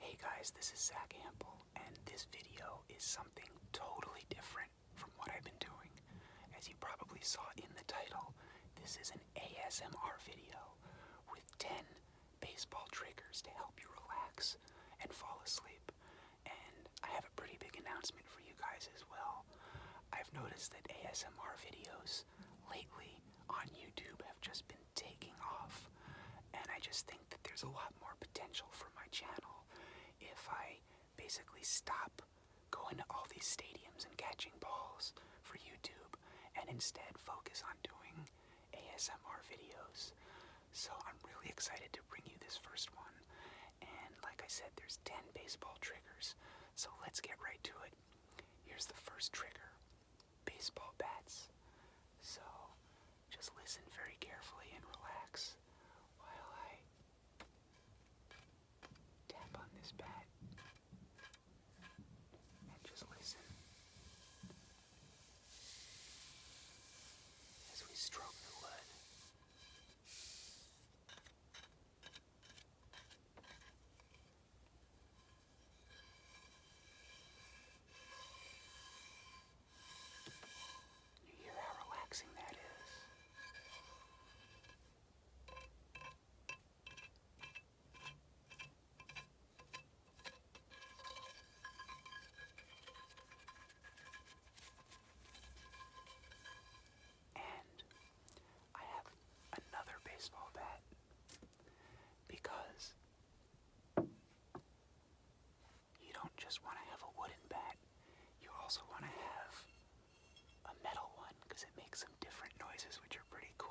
Hey guys, this is Zach Ample, and this video is something totally different from what I've been doing. As you probably saw in the title, this is an ASMR video with 10 baseball triggers to help you relax and fall asleep. And I have a pretty big announcement for you guys as well. I've noticed that ASMR videos lately on YouTube have just been taking off, and I just think that there's a lot more potential for my channel if I basically stop going to all these stadiums and catching balls for YouTube and instead focus on doing ASMR videos. So I'm really excited to bring you this first one. And like I said, there's 10 baseball triggers. So let's get right to it. Here's the first trigger baseball bats. So just listen very carefully and relax while I tap on this bat. And just listen as we stroke the wood. You hear how relaxing that is. And I have another baseball bat because you don't just want to have a wooden bat, you also want to have a metal one because it makes some different noises, which are pretty cool.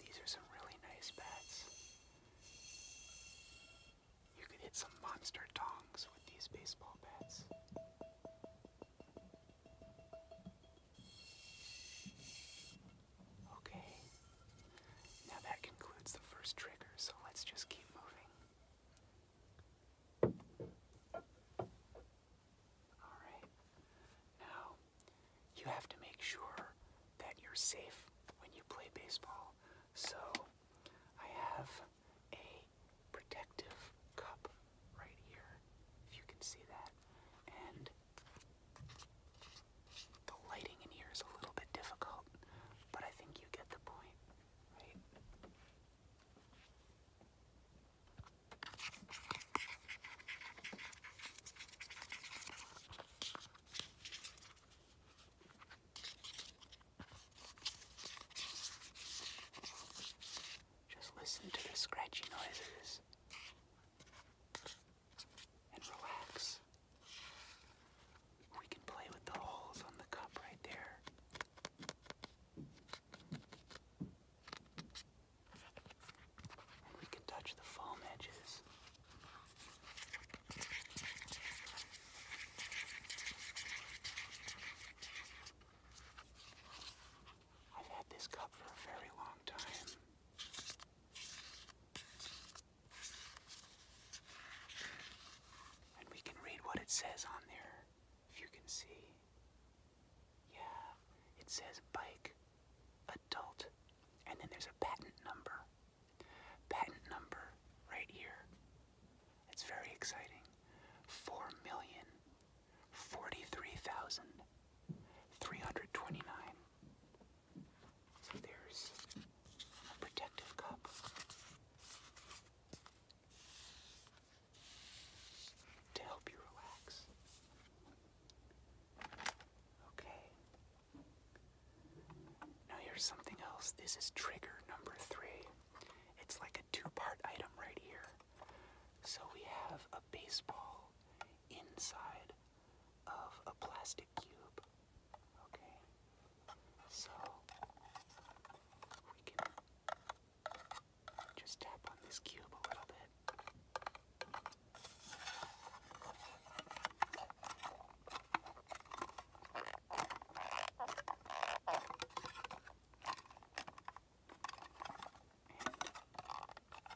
These are some really nice bats. You could hit some monster tongs with these baseball bats. Okay. Now that concludes the first trigger, so let's just keep moving. All right. Now, you have to make sure that you're safe when you play baseball. So, I have a protective cup right here, if you can see that. And the lighting in here is a little bit difficult, but I think you get the point, right? Just listen to the scratchy noises and relax. We can play with the holes on the cup right there. we can touch the foam edges. I've had this cup for a very long time. And we can read what it says on there, if you can see. Yeah, it says bike, adult, and then there's a patent number. Patent number right here. It's very exciting. Four million forty-three thousand three hundred twenty-nine. So there's a protective cup. To help you relax. Okay. Now here's something else. This is trigger number three. It's like a two part item right here. So we have a baseball inside of a plastic cube. Okay, so we can just tap on this cube a little bit. And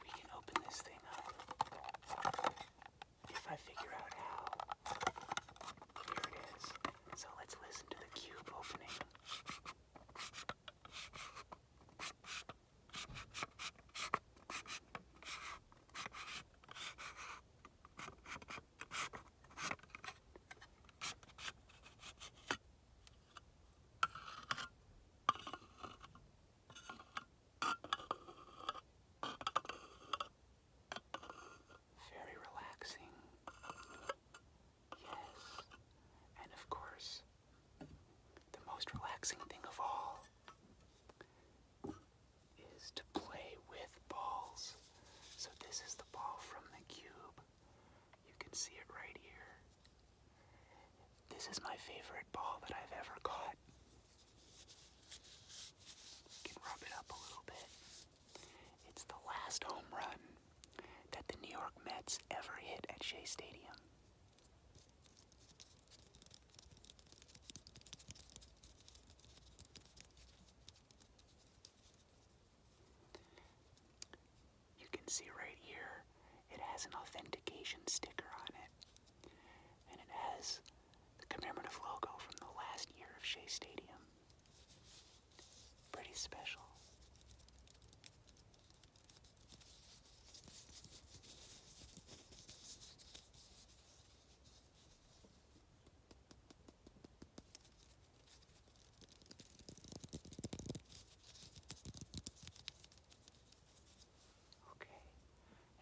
we can open this thing up if I figure out how. Oh, here it is. So let's listen to the cube opening. Very relaxing. Yes. And of course, the most relaxing thing of all is to play with balls. So this is the ball from the cube. You can see it right here. This is my favorite ball that I've ever caught. It's the last home run that the New York Mets ever hit at Shea Stadium. You can see right here, it has an authentication sticker on it and it has the commemorative logo from the last year of Shea Stadium. Pretty special. Okay,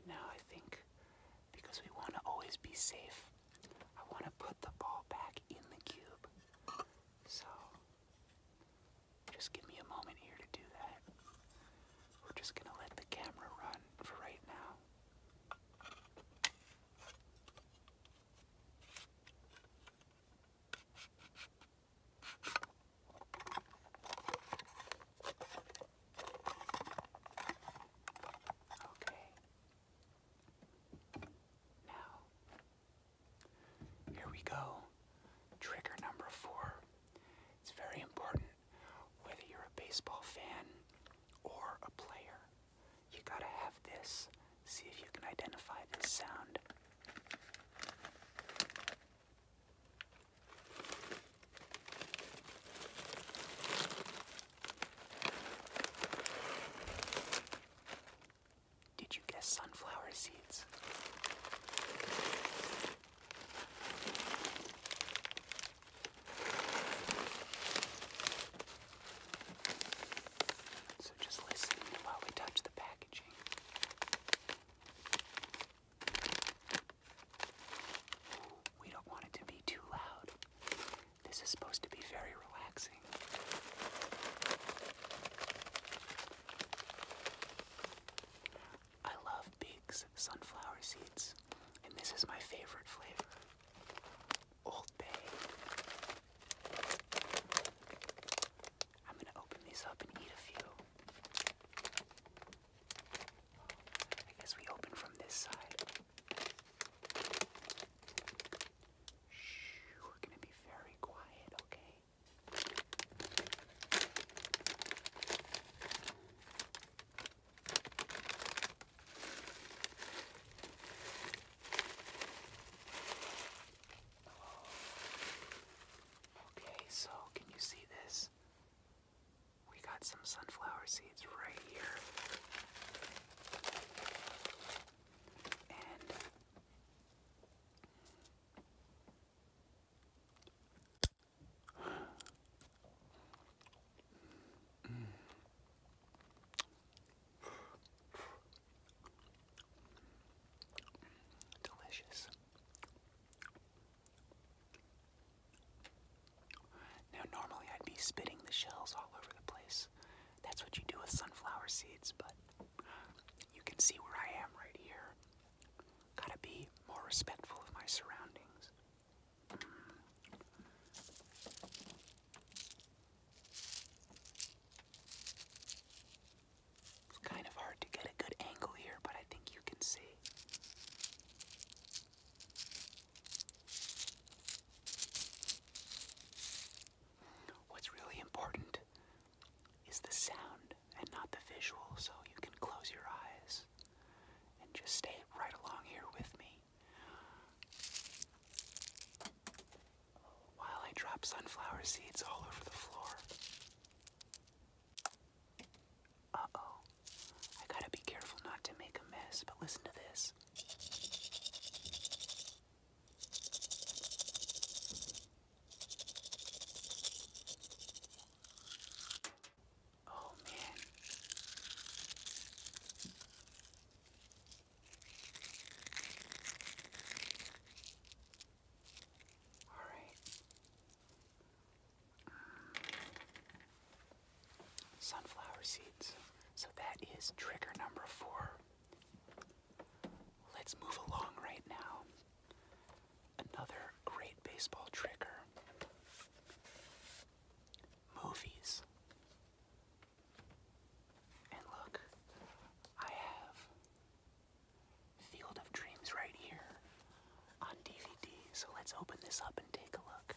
and now I think because we want to always be safe, I want to put the ball back in the cube. So just give me a moment here to do that. We're just going to let the camera run for right now. Okay. Now, here we go. Trigger number four. It's very important whether you're a baseball fan or a player. You gotta have this. See if you can identify this sound. Did you guess sunflower seeds? So just listen while we touch the packaging. Ooh, we don't want it to be too loud. This is supposed to be very relaxing. I love Big's sunflower seeds, and this is my favorite flavor Old Bay. I'm going to open these up and eat a few. I guess we open from this side. Shh, we're gonna be very quiet, okay? Oh, okay, so can you see this? we got some sunflower seeds right here. And Delicious. Now, normally I'd be spitting the shells all over the place. That's what you do with sunflower seeds, but you can see where I am right here. Gotta be more respectful of my surroundings. It's kind of hard to get a good angle here, but I think you can see. What's really important is the sound and not the visual, so you can close your eyes and just stay right along here with me while I drop sunflower seeds all over the floor. Uh-oh. I gotta be careful not to make a mess, but listen to this. Oh man. All right. Sunflower seeds. So that is trigger number four. Let's move along right now. Another great baseball trigger. Movies. And look, I have Field of Dreams right here on DVD. So let's open this up and take a look.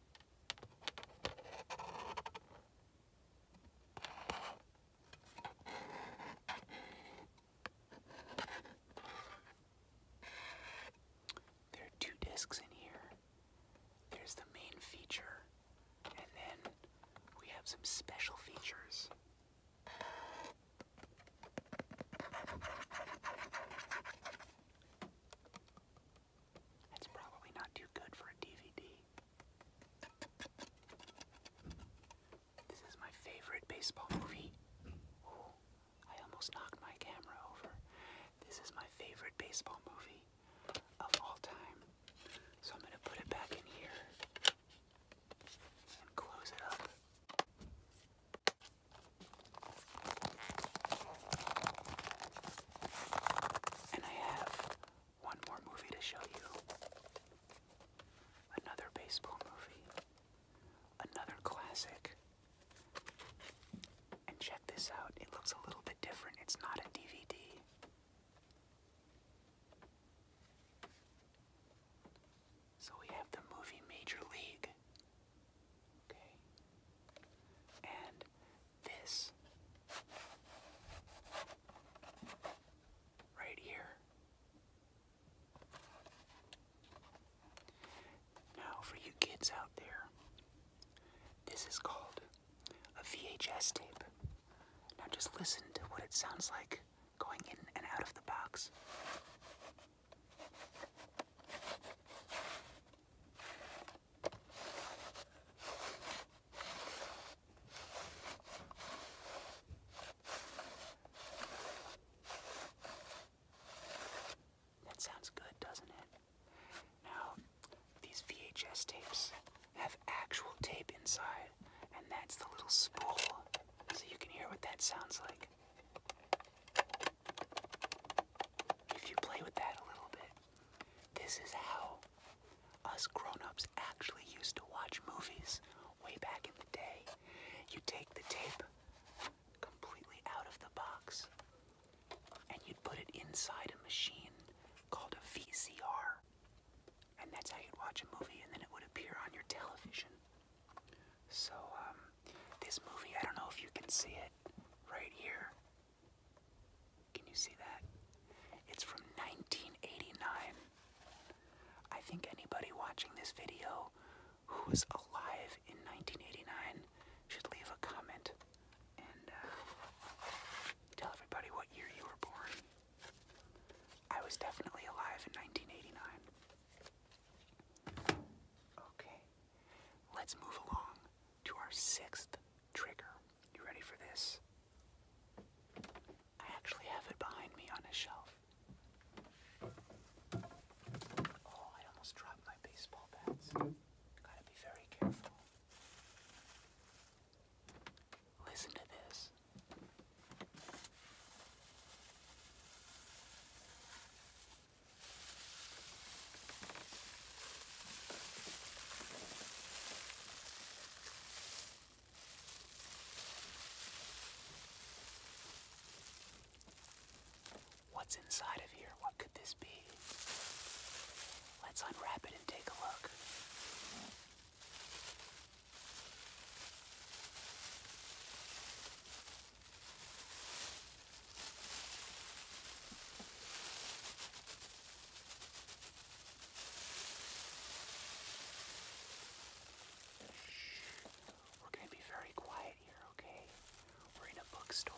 There are two discs in here. There's the main feature, and then we have some special features. It's probably not too good for a DVD. This is my favorite baseball movie. I almost knocked my camera over. This is my favorite baseball movie of all time. So I'm gonna put it back in here and close it up. And I have one more movie to show you. Another baseball movie. Another classic. And check this out. It looks a little bit different. It's not a DVD. So we have the movie Major League. Okay. And this right here. Now, for you kids out there, this is called a VHS tape. Now, just listen to what it sounds like going in and out of the box. That sounds good, doesn't it? Now, these VHS tapes have actual tape inside, and that's the little spool, so you can hear what that sounds like. If you play with that a little bit, this is how us grown-ups actually used to watch movies way back in the day. You take the tape completely out of the box and you'd put it inside a machine called a VCR. And that's how you'd watch a movie and then it would appear on your television. So, um, this movie, I don't know if you can see it right here. Can you see that? It's from 1989. I think anybody watching this video who was alive in 1989 should leave a comment and uh, tell everybody what year you were born. I was definitely alive in 1989. Okay, let's move along to our sixth trigger. You ready for this? I actually have it behind me on a shelf. Oh, I almost dropped my baseball bats. Gotta be very careful. Listen to this. What's inside of here? What could this be? Let's unwrap it and take a look. We're going to be very quiet here, okay? We're in a bookstore,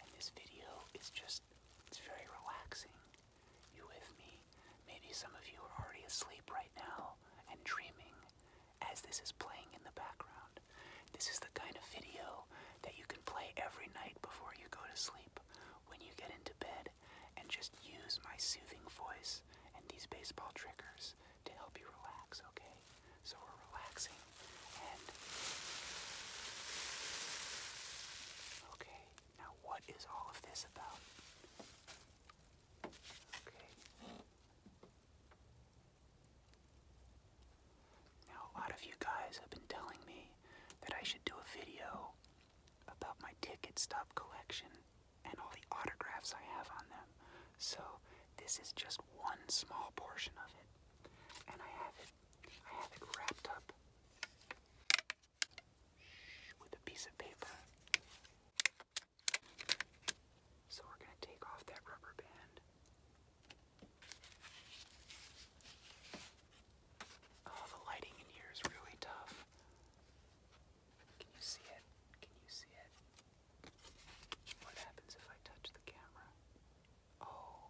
and this video is just, it's very relaxing. You with me? Maybe some of you are already asleep right now and dreaming as this is playing in the background. This is the kind of video that you can play every night before you go to sleep, when you get into bed, and just use my soothing voice and these baseball triggers to help you relax, okay? So we're relaxing and. Okay, now what is all of this about? Okay. Now, a lot of you guys have been telling me that I should do a video about my ticket stub collection and all the autographs I have on them. So, this is just one small portion of it. And I have it I have it wrapped up with a piece of paper. So we're going to take off that rubber band Oh, the lighting in here is really tough. Can you see it? Can you see it? What happens if I touch the camera? Oh,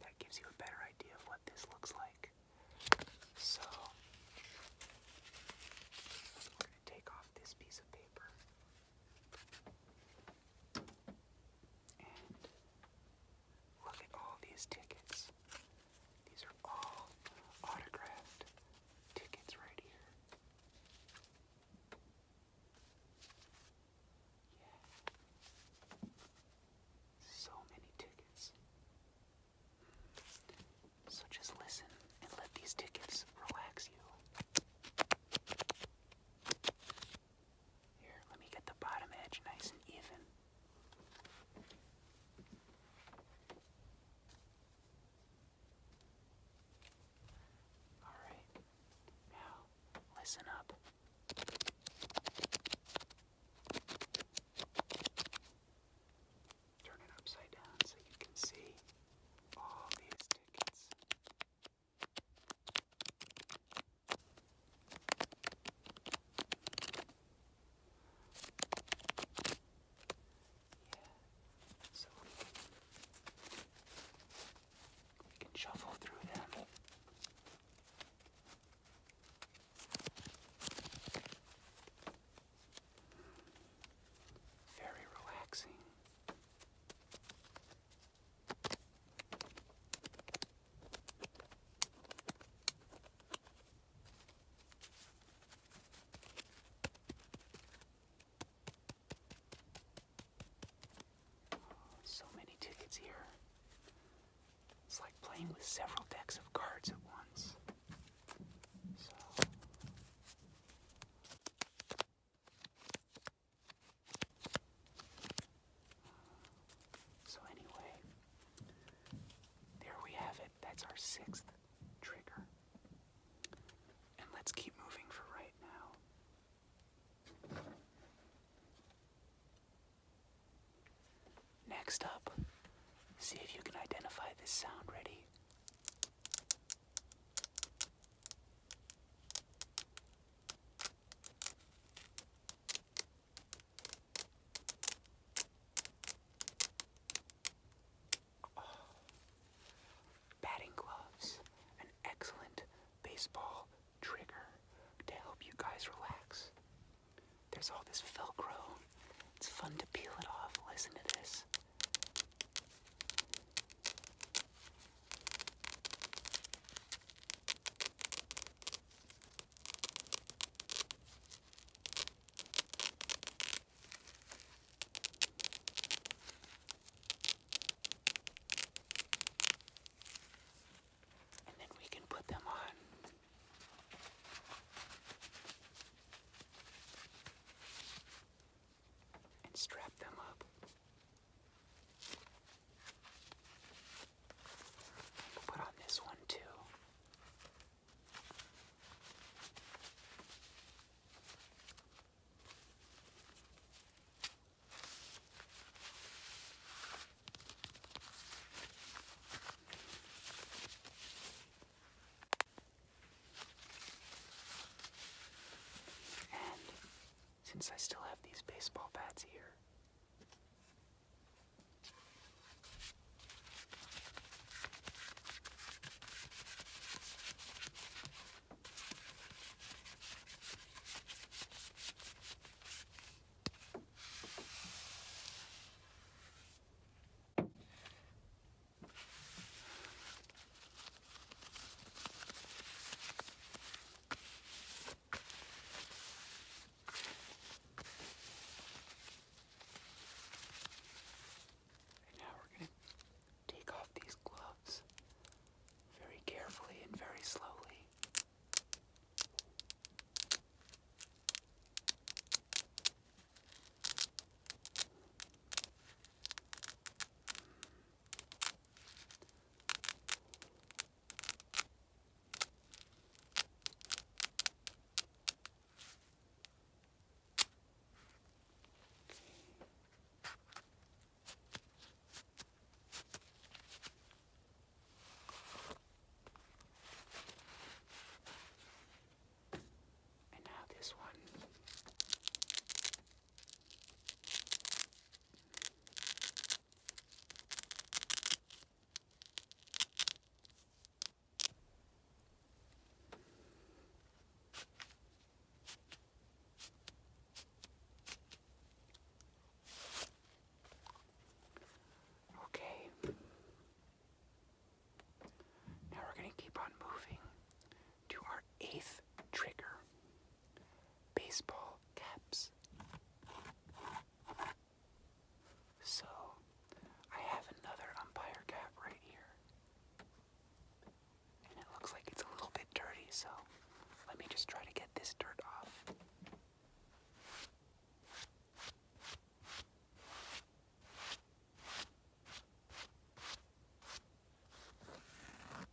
that gives you a better idea of what this looks like. So, we're going to take off this piece of paper look at all these tickets. These are all autographed tickets right here. Yeah. So many tickets. So just listen and let these tickets relax you. Here, let me get the bottom edge nice and even. Alright, now listen up. Turn it upside down so you can see all these tickets so we can, we can shuffle through them. Very relaxing. So many tickets here. It's like playing with several decks of cards at once. So. So anyway, there we have it. That's our sixth trigger. And let's keep moving for right now. Next up, see if you can identify this sound. Ready? Batting gloves, an excellent baseball trigger to help you guys relax. There's all this Velcro. It's fun to peel it off. Listen to this. And then we can put them on. And strap them up. We'll put on this one too. And since I still have these baseball bats here. And now we're going to take off these gloves very carefully and very slowly. And now this one. Okay. Now we're going to keep on moving to our eighth trigger baseball caps. So, I have another umpire cap right here. And it looks like it's a little bit dirty, so let me just try to get this dirt off.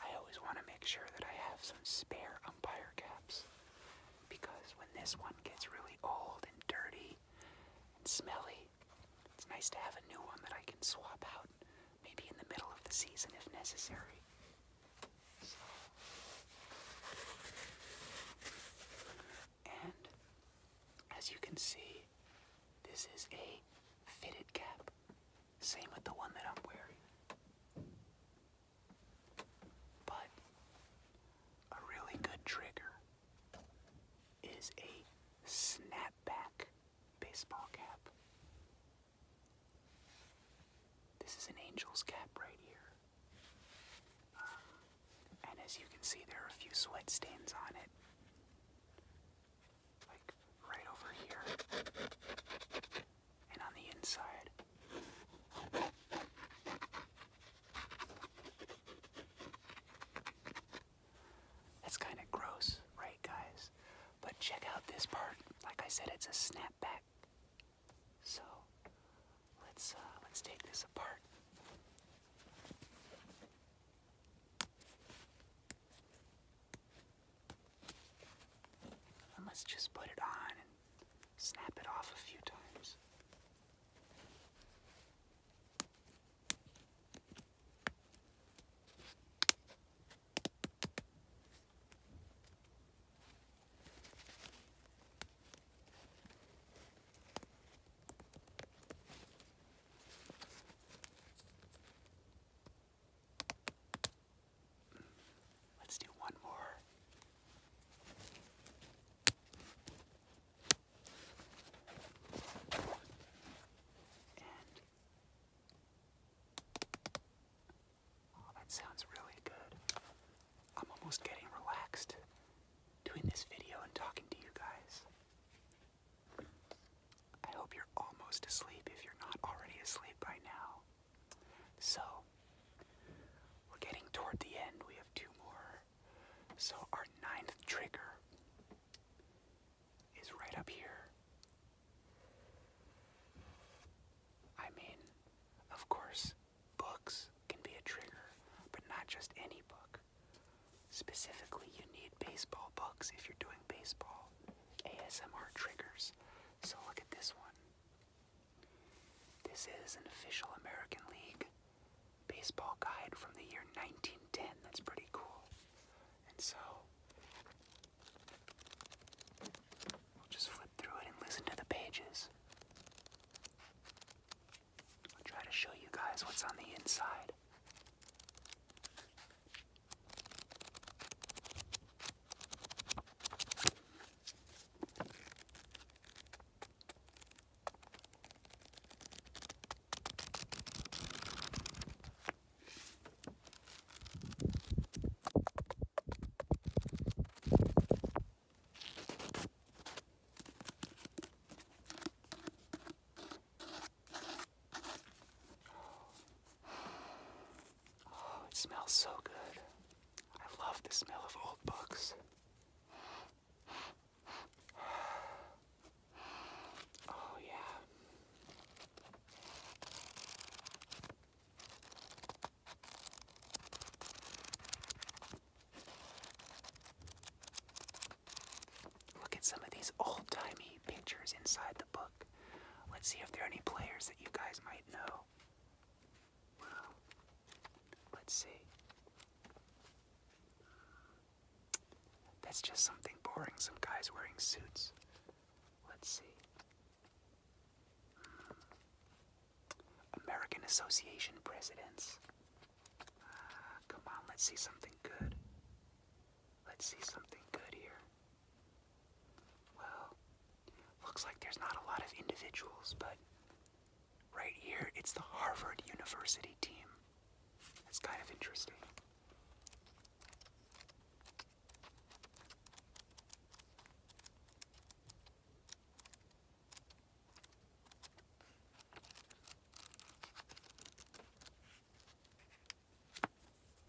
I always want to make sure that I have some spare umpire caps because when this one gets really old and dirty and smelly, it's nice to have a new one that I can swap out maybe in the middle of the season if necessary. And as you can see, this is a fitted cap. Same with the one that I'm wearing. But a really good trigger is a snapback baseball cap. This is an angel's cap right here. Um, and as you can see, there are a few sweat stains on it. Like right over here. And on the inside. That's kind of gross, right, guys? But check out this part. Like I said, it's a snapback. So Let's uh, let's take this apart. And let's just put it on and snap it off a few times. Let's do one more. oh, that sounds really good. I'm almost getting relaxed doing this video and talking to you guys. I hope you're almost asleep if you're not already asleep right now. So, we're getting toward the end. We have two more. So, our ninth trigger is right up here. I mean, of course, Books can be a trigger, but not just any book. Specifically, you need baseball books if you're doing baseball ASMR triggers. So look at this one. This is an official American League baseball guide from the year 1910. That's pretty cool. And so we'll just flip through it and listen to the pages. I'll try to show you guys what's on the inside. Oh, it smells so good. I love the smell of old books. Oh, yeah. Look at some of these old timey pictures inside the book. Let's see if there are any players that you guys might know. Well, let's see. That's just something boring. Some guys wearing suits. Let's see. American Association presidents. Ah, come on, let's see something good. Let's see something good here. Well, looks like there's not a lot of individuals, but right here it's the Harvard University team. That's kind of interesting.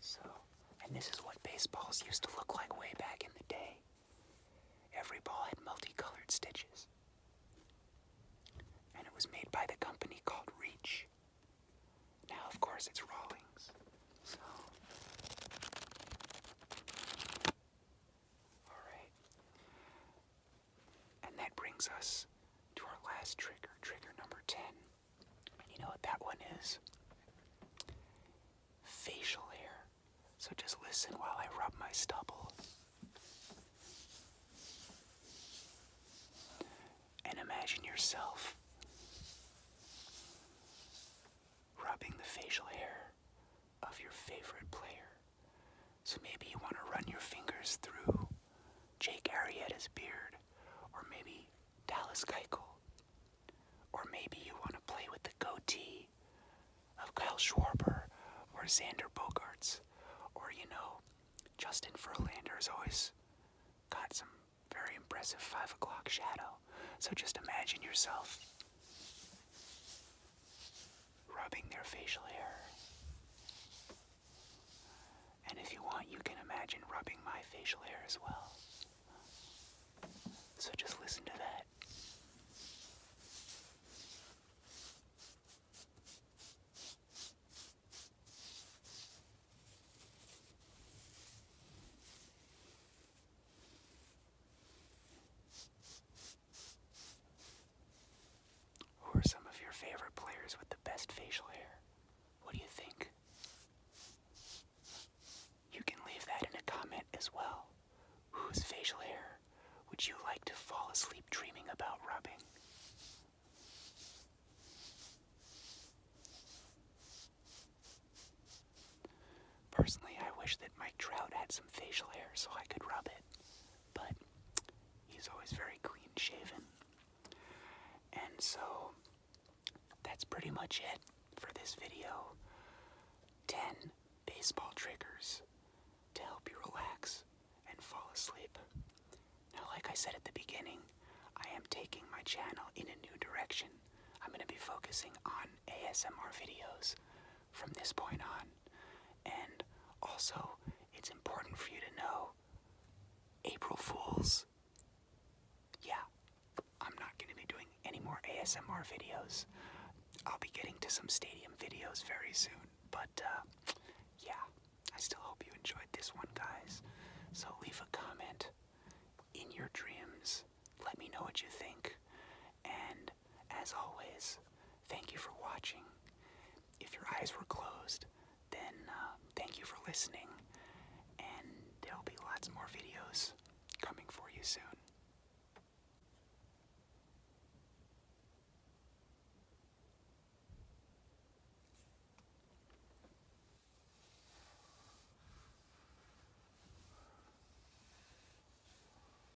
So, and this is what baseballs used to look like way back in the day. Every ball had multicolored stitches. And it was made by the company called Reach. Now, of course, it's Rawlings. So, Alright. And that brings us to our last trigger, trigger number 10. you know what that one is? Facial hair. So just listen while I rub my stubble. And imagine yourself rubbing the facial hair of your favorite player. So maybe you want to run your fingers through Jake Arrieta's beard, or maybe Dallas Keuchel, or maybe you want to play with the goatee of Kyle Schwarber or Xander Bogarts, or you know, Justin Verlander has always got some very impressive five o'clock shadow. So just imagine yourself rubbing their facial hair. And if you want, you can imagine rubbing my facial hair as well. So just listen to that. Who are some of your favorite players with the best facial hair? What do you think? You can leave that in a comment as well. Whose facial hair would you like to fall asleep dreaming about rubbing? Personally, I wish that Mike Trout had some facial hair so I could rub it but he's always very clean shaven. And so that's pretty much it for this video. 10 baseball triggers to help you relax and fall asleep. Now, like I said at the beginning, I am taking my channel in a new direction. I'm going to be focusing on ASMR videos from this point on. And also, it's important for you to know April Fools. Yeah, I'm not going to be doing any more ASMR videos. I'll be getting to some stadium videos very soon. But uh, yeah, I still hope you enjoyed this one, guys. So leave a comment in your dreams. Let me know what you think. And as always, thank you for watching. If your eyes were closed, then uh, thank you for listening. And there'll be lots more videos coming for you soon.